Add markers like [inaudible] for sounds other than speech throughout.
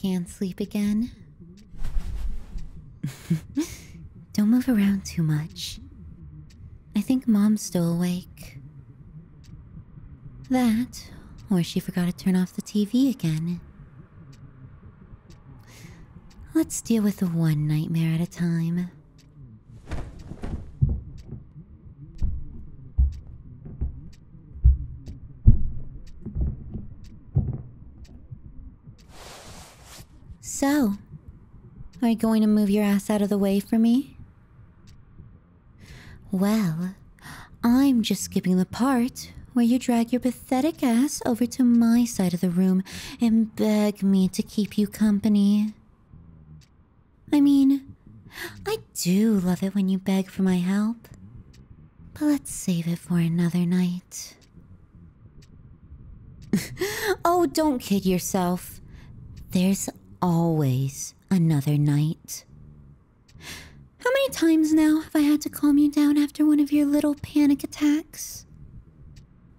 Can't sleep again? [laughs] Don't move around too much. I think mom's still awake. That, or she forgot to turn off the TV again. Let's deal with the one nightmare at a time. So, are you going to move your ass out of the way for me? Well, I'm just skipping the part where you drag your pathetic ass over to my side of the room and beg me to keep you company. I mean, I do love it when you beg for my help, but let's save it for another night. [laughs] oh, don't kid yourself. There's always another night. How many times now have I had to calm you down after one of your little panic attacks?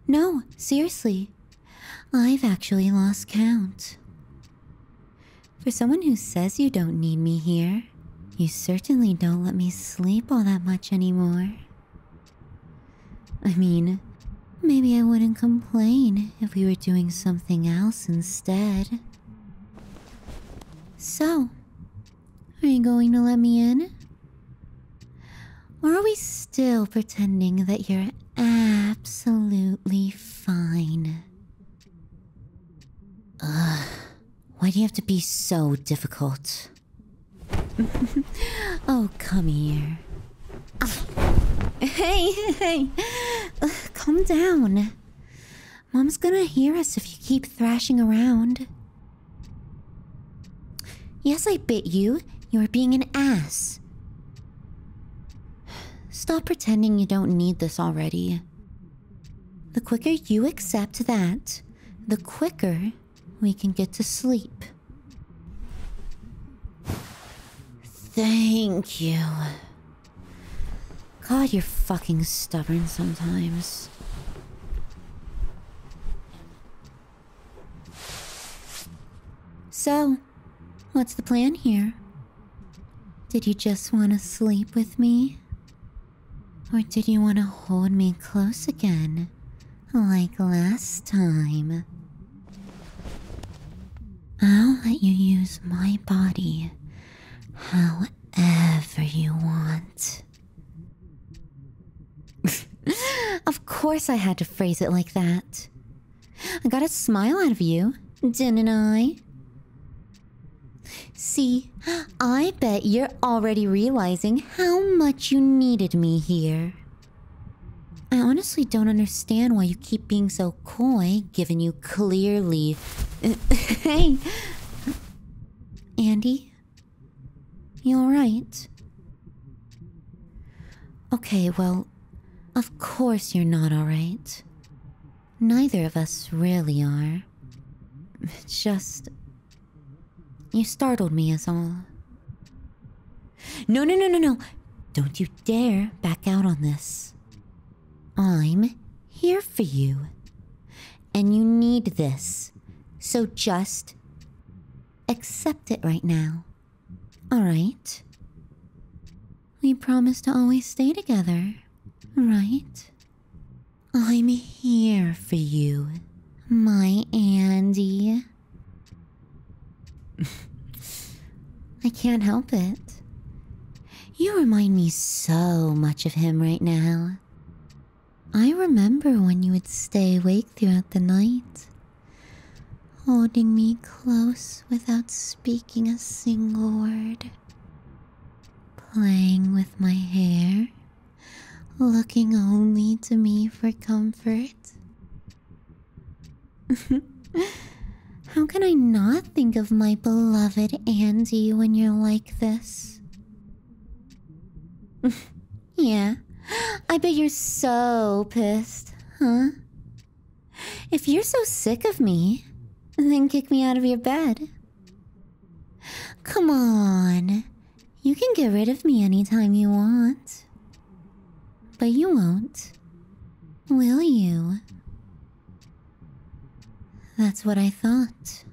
No, seriously. I've actually lost count. For someone who says you don't need me here, you certainly don't let me sleep all that much anymore. I mean, maybe I wouldn't complain if we were doing something else instead. So, are you going to let me in? Or are we still pretending that you're absolutely fine? Ugh, why do you have to be so difficult? [laughs] oh, come here. Ah, [laughs] hey, hey, calm down. Mom's gonna hear us if you keep thrashing around. Yes, I bit you. You're being an ass. Stop pretending you don't need this already. The quicker you accept that, the quicker we can get to sleep. Thank you. God, you're fucking stubborn sometimes. So, what's the plan here? Did you just want to sleep with me? Or did you want to hold me close again? Like last time? I'll let you use my body. How Ever you want. [laughs] of course, I had to phrase it like that. I got a smile out of you, didn't I? See, I bet you're already realizing how much you needed me here. I honestly don't understand why you keep being so coy given you clearly. [laughs] hey! Andy? You alright? Okay, well, of course you're not alright. Neither of us really are. It's [laughs] just. You startled me, is all. No, no, no, no, no! Don't you dare back out on this. I'm here for you. And you need this. So just accept it right now. All right? We promise to always stay together, right? I'm here for you, my Andy. [laughs] I can't help it. You remind me so much of him right now. I remember when you would stay awake throughout the night, holding me close without speaking a single word, playing with my hair, looking only to me for comfort. [laughs] How can I not think of my beloved Andy when you're like this? [laughs] yeah, I bet you're so pissed, huh? If you're so sick of me, then kick me out of your bed. Come on. You can get rid of me anytime you want. But you won't. Will you? That's what I thought.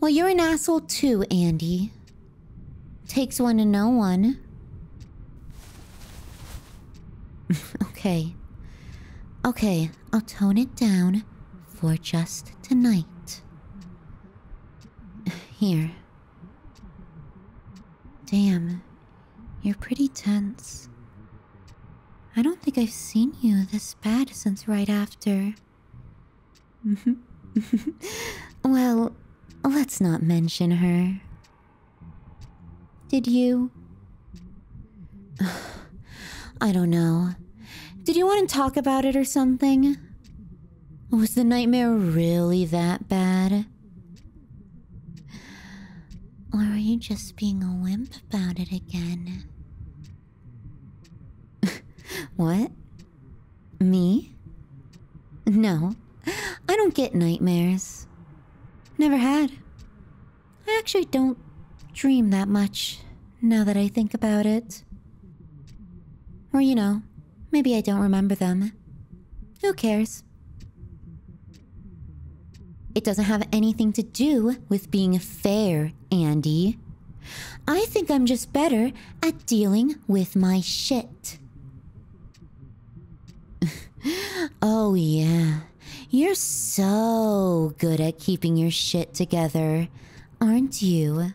Well, you're an asshole too, Andy. Takes one to know one. [laughs] okay. Okay, I'll tone it down for just tonight. [laughs] Here. Damn, you're pretty tense. I don't think I've seen you this bad since right after. [laughs] well, let's not mention her. Did you? [sighs] I don't know. Did you want to talk about it or something? Was the nightmare really that bad? Or are you just being a wimp about it again? [laughs] what? Me? No, I don't get nightmares. Never had. I actually don't dream that much now that I think about it. Or, you know, maybe I don't remember them. Who cares? It doesn't have anything to do with being fair, Andy. I think I'm just better at dealing with my shit. [laughs] oh, yeah. You're so good at keeping your shit together, aren't you?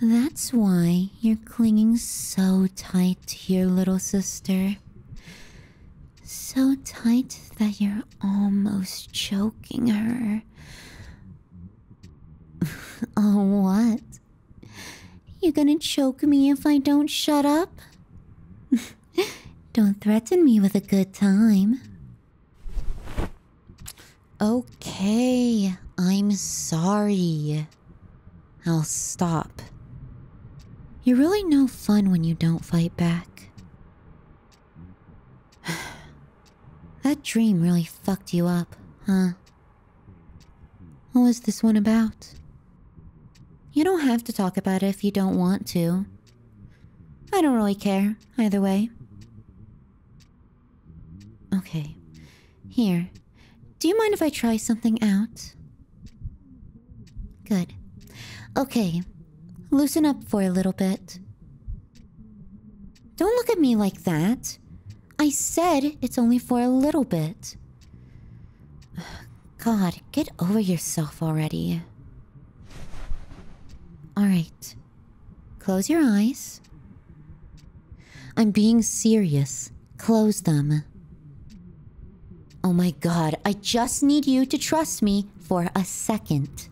That's why you're clinging so tight to your little sister. So tight that you're almost choking her. [laughs] oh, what? You gonna choke me if I don't shut up? [laughs] don't threaten me with a good time. Okay, I'm sorry. I'll stop. You're really no fun when you don't fight back. [sighs] that dream really fucked you up, huh? What was this one about? You don't have to talk about it if you don't want to. I don't really care, either way. Okay. Here. Do you mind if I try something out? Good. Okay, loosen up for a little bit. Don't look at me like that. I said it's only for a little bit. [sighs] God, get over yourself already. Alright. Close your eyes. I'm being serious. Close them. Oh my god, I just need you to trust me for a second.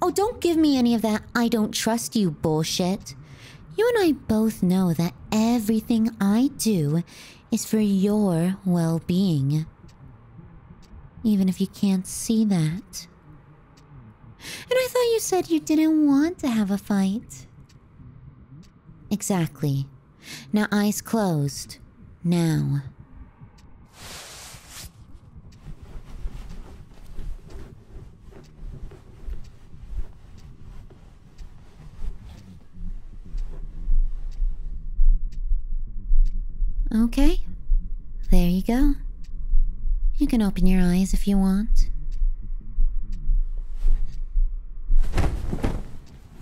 Oh, don't give me any of that I don't trust you bullshit. You and I both know that everything I do is for your well-being. Even if you can't see that. And I thought you said you didn't want to have a fight. Exactly. Now, eyes closed. Now. Okay. There you go. You can open your eyes if you want.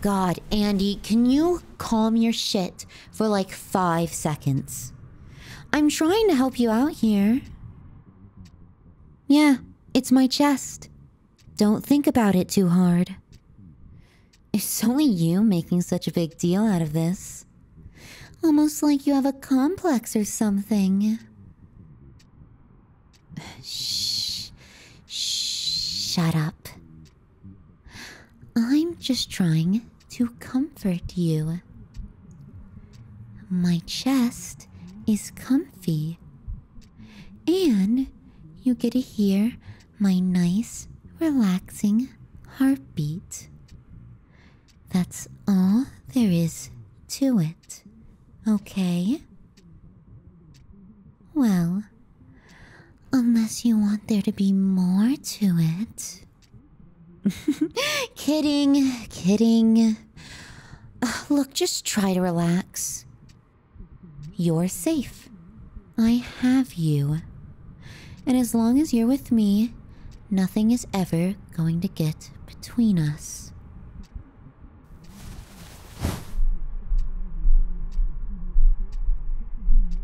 God, Andy, can you calm your shit for like five seconds? I'm trying to help you out here. Yeah, it's my chest. Don't think about it too hard. It's only you making such a big deal out of this. Almost like you have a complex or something. Shh. Shut up. I'm just trying to comfort you. My chest is comfy, and you get to hear my nice, relaxing heartbeat. That's all there is to it okay? Well, unless you want there to be more to it. [laughs] kidding, kidding. Uh, look, just try to relax. You're safe. I have you. And as long as you're with me, nothing is ever going to get between us.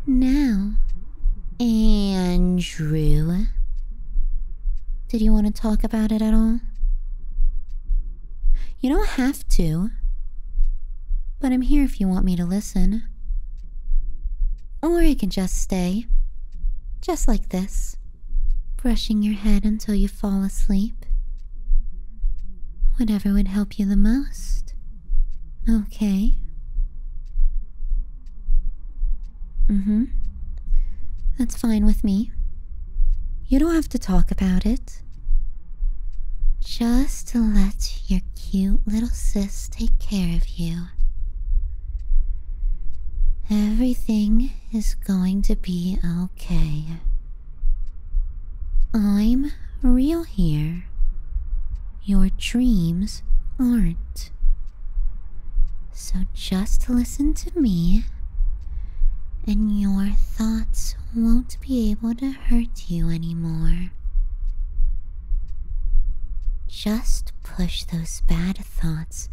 Now, Andrew, did you want to talk about it at all? You don't have to, but I'm here if you want me to listen. Or I can just stay, just like this brushing your head until you fall asleep. Whatever would help you the most. Okay. hmm. That's fine with me. You don't have to talk about it. Just let your cute little sis take care of you. Everything is going to be okay. I'm real here. Your dreams aren't. So just listen to me, and your thoughts won't be able to hurt you anymore. Just push those bad thoughts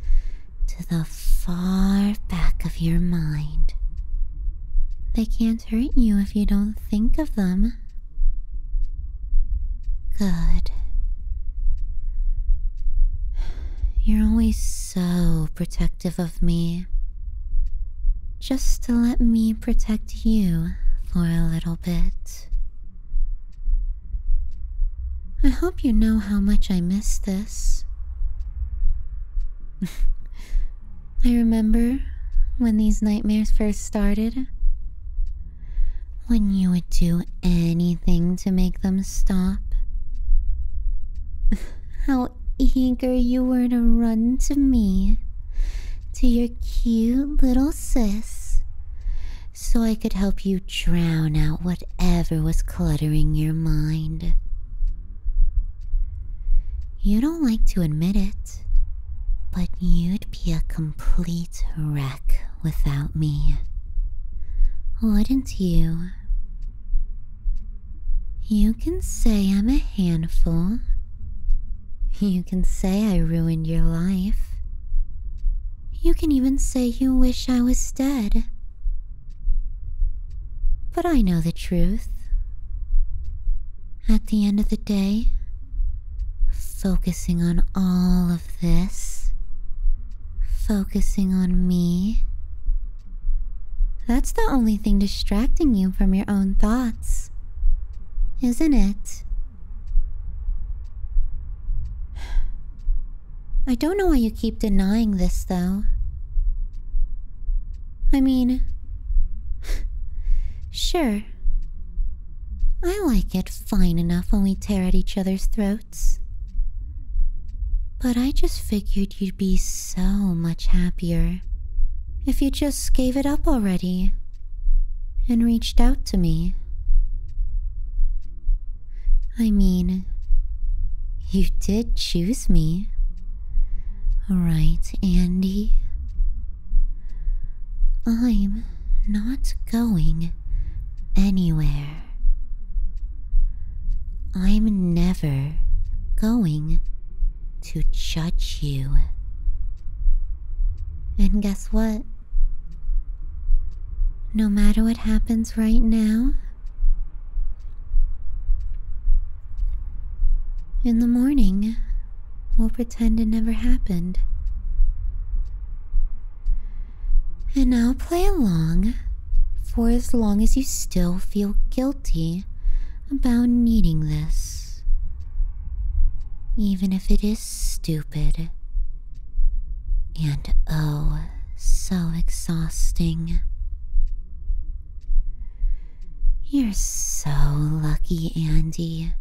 to the far back of your mind. They can't hurt you if you don't think of them. Good. You're always so protective of me. Just to let me protect you for a little bit. I hope you know how much I miss this. [laughs] I remember when these nightmares first started. When you would do anything to make them stop. [laughs] How eager you were to run to me, to your cute little sis, so I could help you drown out whatever was cluttering your mind. You don't like to admit it, but you'd be a complete wreck without me. Wouldn't you? You can say I'm a handful. You can say I ruined your life. You can even say you wish I was dead. But I know the truth. At the end of the day, focusing on all of this, focusing on me, that's the only thing distracting you from your own thoughts, isn't it? I don't know why you keep denying this, though. I mean, [laughs] sure. I like it fine enough when we tear at each other's throats. But I just figured you'd be so much happier if you just gave it up already and reached out to me. I mean, you did choose me. Right, Andy? I'm not going anywhere. I'm never going to judge you. And guess what? No matter what happens right now, in the morning, we'll pretend it never happened. And I'll play along for as long as you still feel guilty about needing this, even if it is stupid. And oh, so exhausting. You're so lucky, Andy.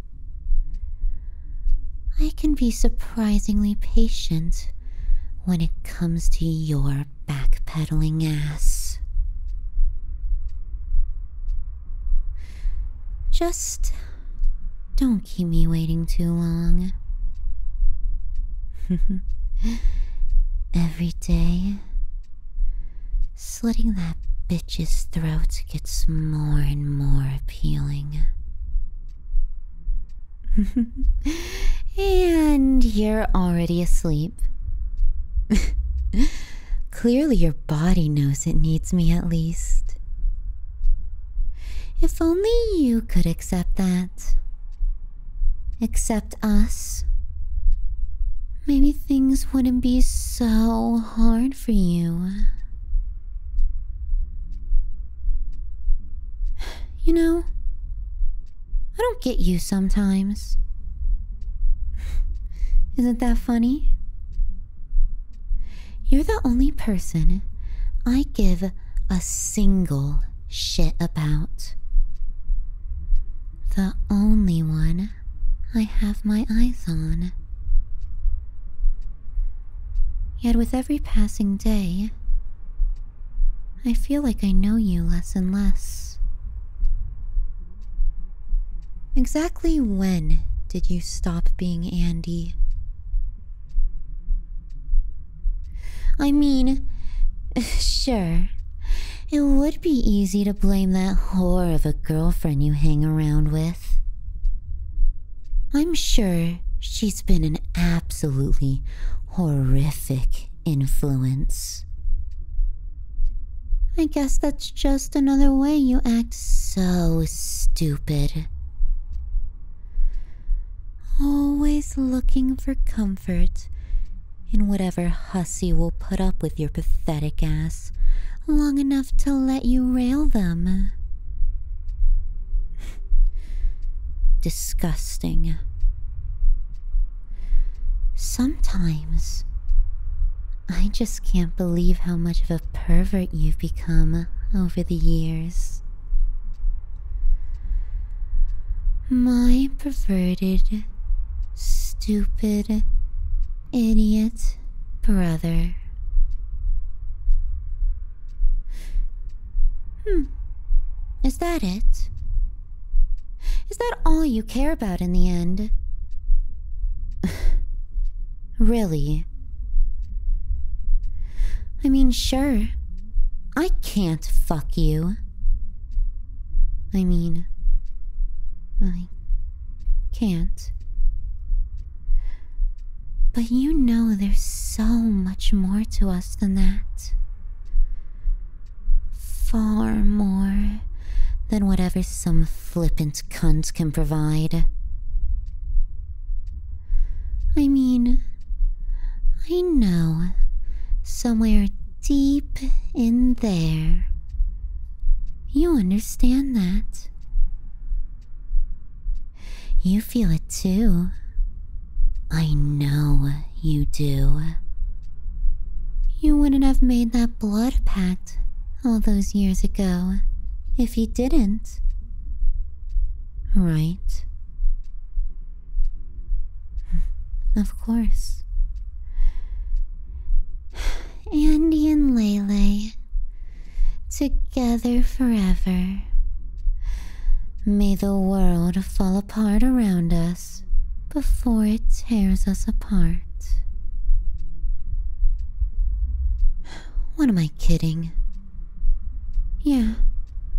I can be surprisingly patient when it comes to your backpedaling ass. Just don't keep me waiting too long. [laughs] Every day, slitting that bitch's throat gets more and more appealing. [laughs] and you're already asleep. [laughs] Clearly, your body knows it needs me at least. If only you could accept that. Except us. Maybe things wouldn't be so hard for you. [sighs] You know, I don't get you sometimes. [sighs] Isn't that funny? You're the only person I give a single shit about. The only one I have my eyes on. Yet with every passing day, I feel like I know you less and less. Exactly when did you stop being Andy? I mean, [sighs] sure, it would be easy to blame that whore of a girlfriend you hang around with. I'm sure she's been an absolutely horrific influence. I guess that's just another way you act so stupid. Always looking for comfort in whatever hussy will put up with your pathetic ass long enough to let you rail them. [laughs] Disgusting. Sometimes I just can't believe how much of a pervert you've become over the years. My perverted, stupid, idiot brother. Hmm. Is that it? Is that all you care about in the end? [laughs] really? I mean, sure, I can't fuck you. I mean, I can't. But you know there's so much more to us than that. Far more than whatever some flippant cunt can provide. I mean, I know somewhere deep in there you understand that. You feel it too. I know you do. You wouldn't have made that blood pact all those years ago if you didn't. Right? Of course. Andy and Lele, together forever. May the world fall apart around us before it tears us apart. What am I kidding? Yeah,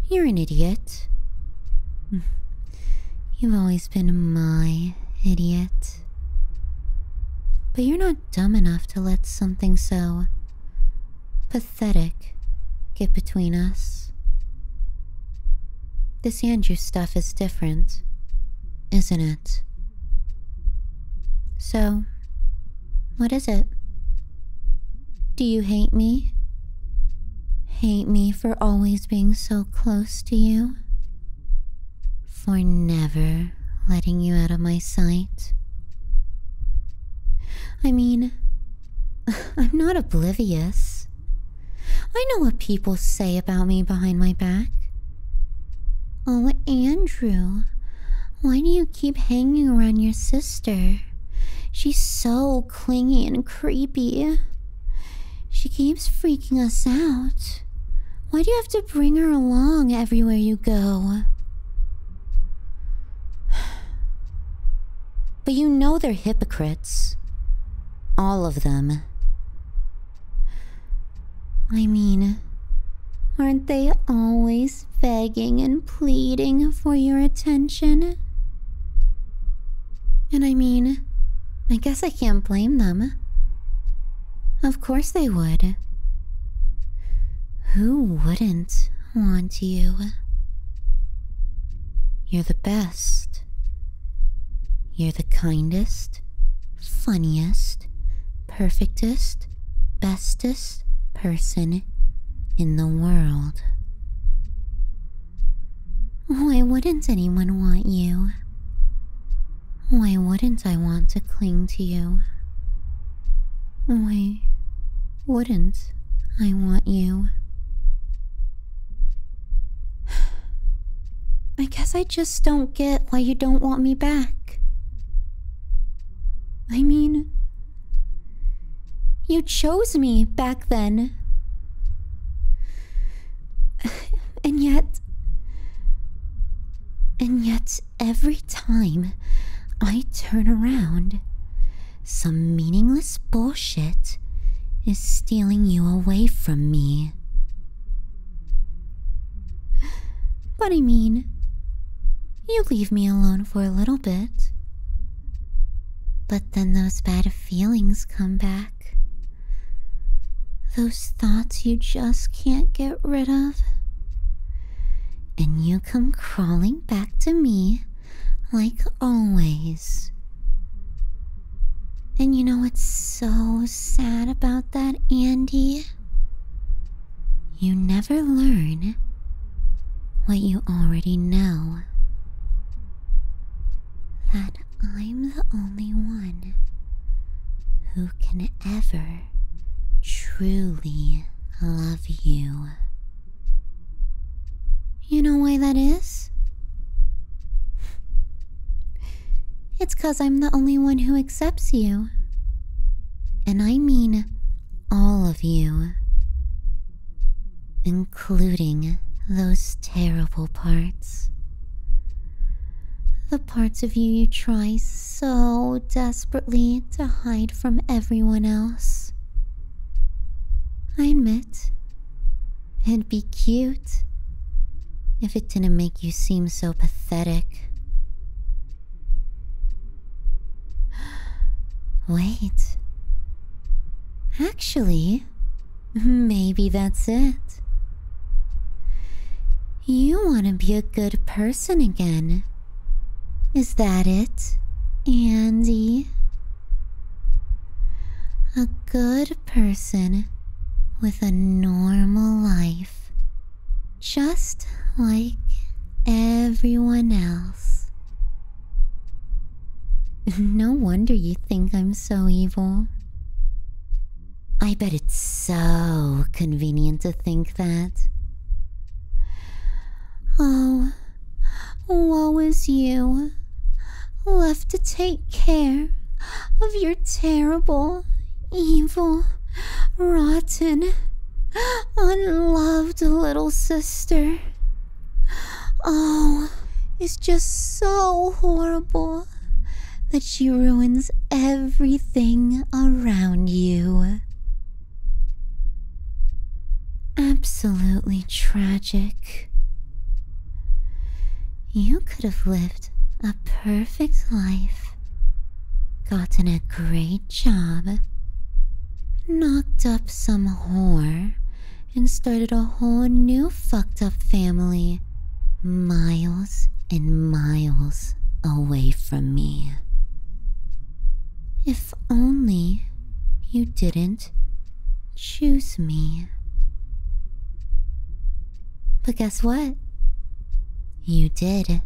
you're an idiot. [laughs] You've always been my idiot. But you're not dumb enough to let something so pathetic get between us. This Andrew stuff is different, isn't it? So, what is it? Do you hate me? Hate me for always being so close to you? For never letting you out of my sight? I mean, [laughs] I'm not oblivious. I know what people say about me behind my back. Oh, Andrew, why do you keep hanging around your sister? She's so clingy and creepy. She keeps freaking us out. Why do you have to bring her along everywhere you go? [sighs] But you know they're hypocrites. All of them. I mean, aren't they always always begging and pleading for your attention. And I mean, I guess I can't blame them. Of course they would. Who wouldn't want you? You're the best. You're the kindest, funniest, perfectest, bestest person in the world. Why wouldn't anyone want you? Why wouldn't I want to cling to you? Why wouldn't I want you? I guess I just don't get why you don't want me back. I mean, you chose me back then. And yet. And yet, every time I turn around, some meaningless bullshit is stealing you away from me. But I mean, you leave me alone for a little bit. But then those bad feelings come back. Those thoughts you just can't get rid of. And you come crawling back to me like always. And you know what's so sad about that, Andy? You never learn what you already know. That I'm the only one who can ever truly love you. You know why that is? It's because I'm the only one who accepts you. And I mean all of you, including those terrible parts. The parts of you you try so desperately to hide from everyone else. I admit, it'd be cute if it didn't make you seem so pathetic. [gasps] Wait. Actually, maybe that's it. You want to be a good person again. Is that it, Andy? A good person with a normal life, just like everyone else. No wonder you think I'm so evil. I bet it's so convenient to think that. Oh, woe is you, left to take care of your terrible, evil, rotten, Unloved little sister. Oh, it's just so horrible that she ruins everything around you. Absolutely tragic. You could have lived a perfect life, gotten a great job, knocked up some whore, and started a whole new fucked up family miles and miles away from me. If only you didn't choose me. But guess what? You did.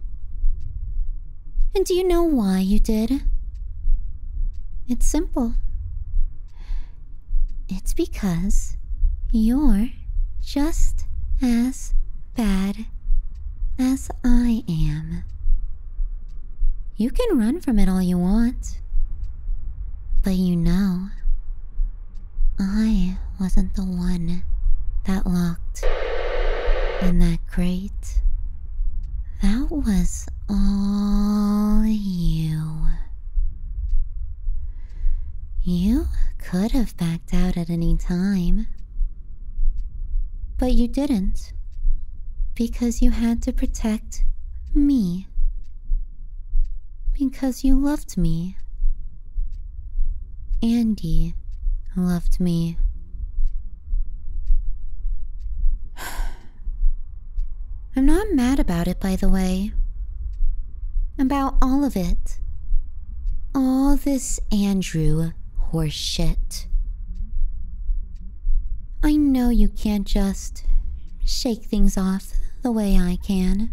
And do you know why you did? It's simple. It's because you're just as bad as I am. You can run from it all you want. But you know, I wasn't the one that locked in that crate. That was all you. You could have backed out at any time. But you didn't. Because you had to protect me. Because you loved me. Andy loved me. [sighs] I'm not mad about it, by the way. About all of it. All this Andrew horseshit. I know you can't just shake things off the way I can.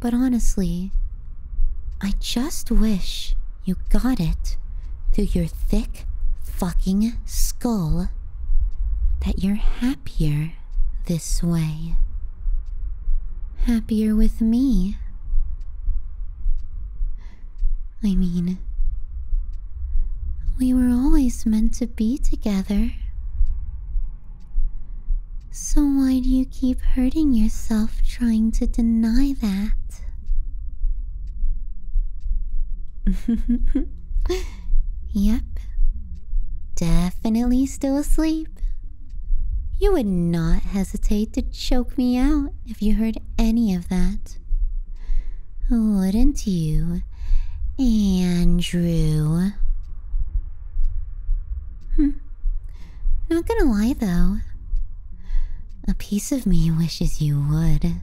But honestly, I just wish you got it through your thick fucking skull that you're happier this way. Happier with me. I mean, we were always meant to be together. So why do you keep hurting yourself trying to deny that? [laughs] yep. Definitely still asleep. You would not hesitate to choke me out if you heard any of that. Wouldn't you, Andrew? Hmm. Not gonna lie though, a piece of me wishes you would.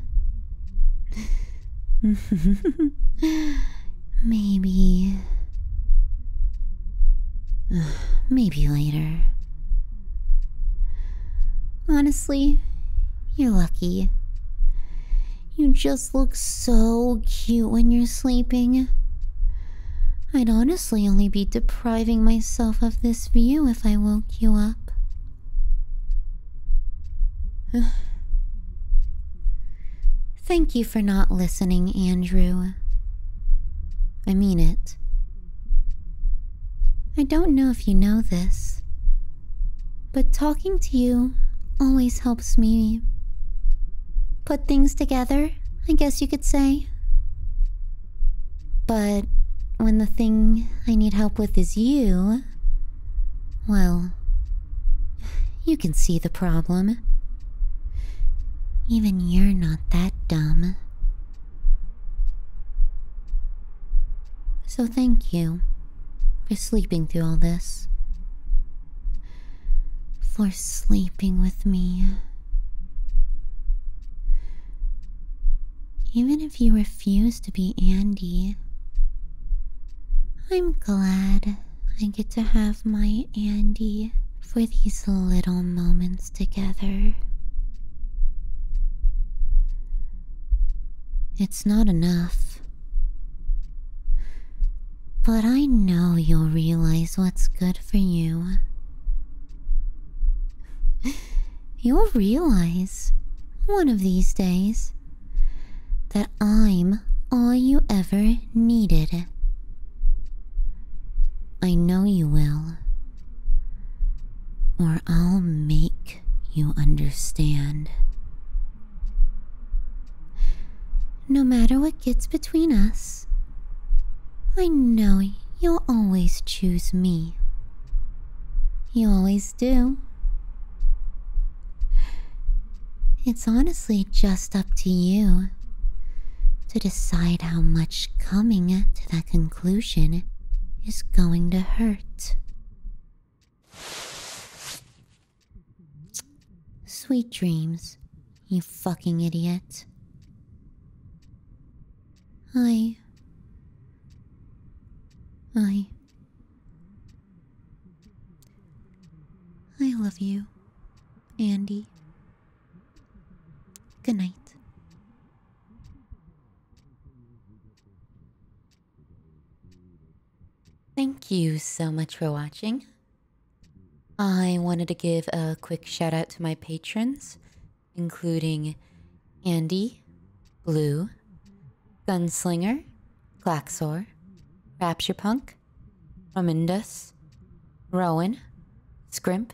[laughs] maybe. [sighs] Maybe later. Honestly, you're lucky. You just look so cute when you're sleeping. I'd honestly only be depriving myself of this view if I woke you up. [sighs] Thank you for not listening, Andrew. I mean it. I don't know if you know this, but talking to you always helps me put things together, I guess you could say. But when the thing I need help with is you, well, you can see the problem. Even you're not that dumb. So thank you for sleeping through all this. For sleeping with me. Even if you refuse to be Andy, I'm glad I get to have my Andy for these little moments together. It's not enough. But I know you'll realize what's good for you. You'll realize one of these days that I'm all you ever needed. I know you will. Or I'll make you understand. No matter what gets between us, I know you'll always choose me. You always do. It's honestly just up to you to decide how much coming to that conclusion is going to hurt. Sweet dreams, you fucking idiot. I. I. I love you, Andy. Good night. Thank you so much for watching. I wanted to give a quick shout out to my patrons including Andy, Blue, Gunslinger, Glaxor, Rapture Punk, Ramindus, Rowan, Scrimp,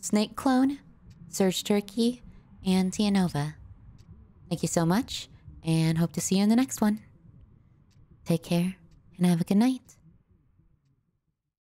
Snake Clone, Surge Turkey, and Tianova. Thank you so much, and hope to see you in the next one. Take care, and have a good night.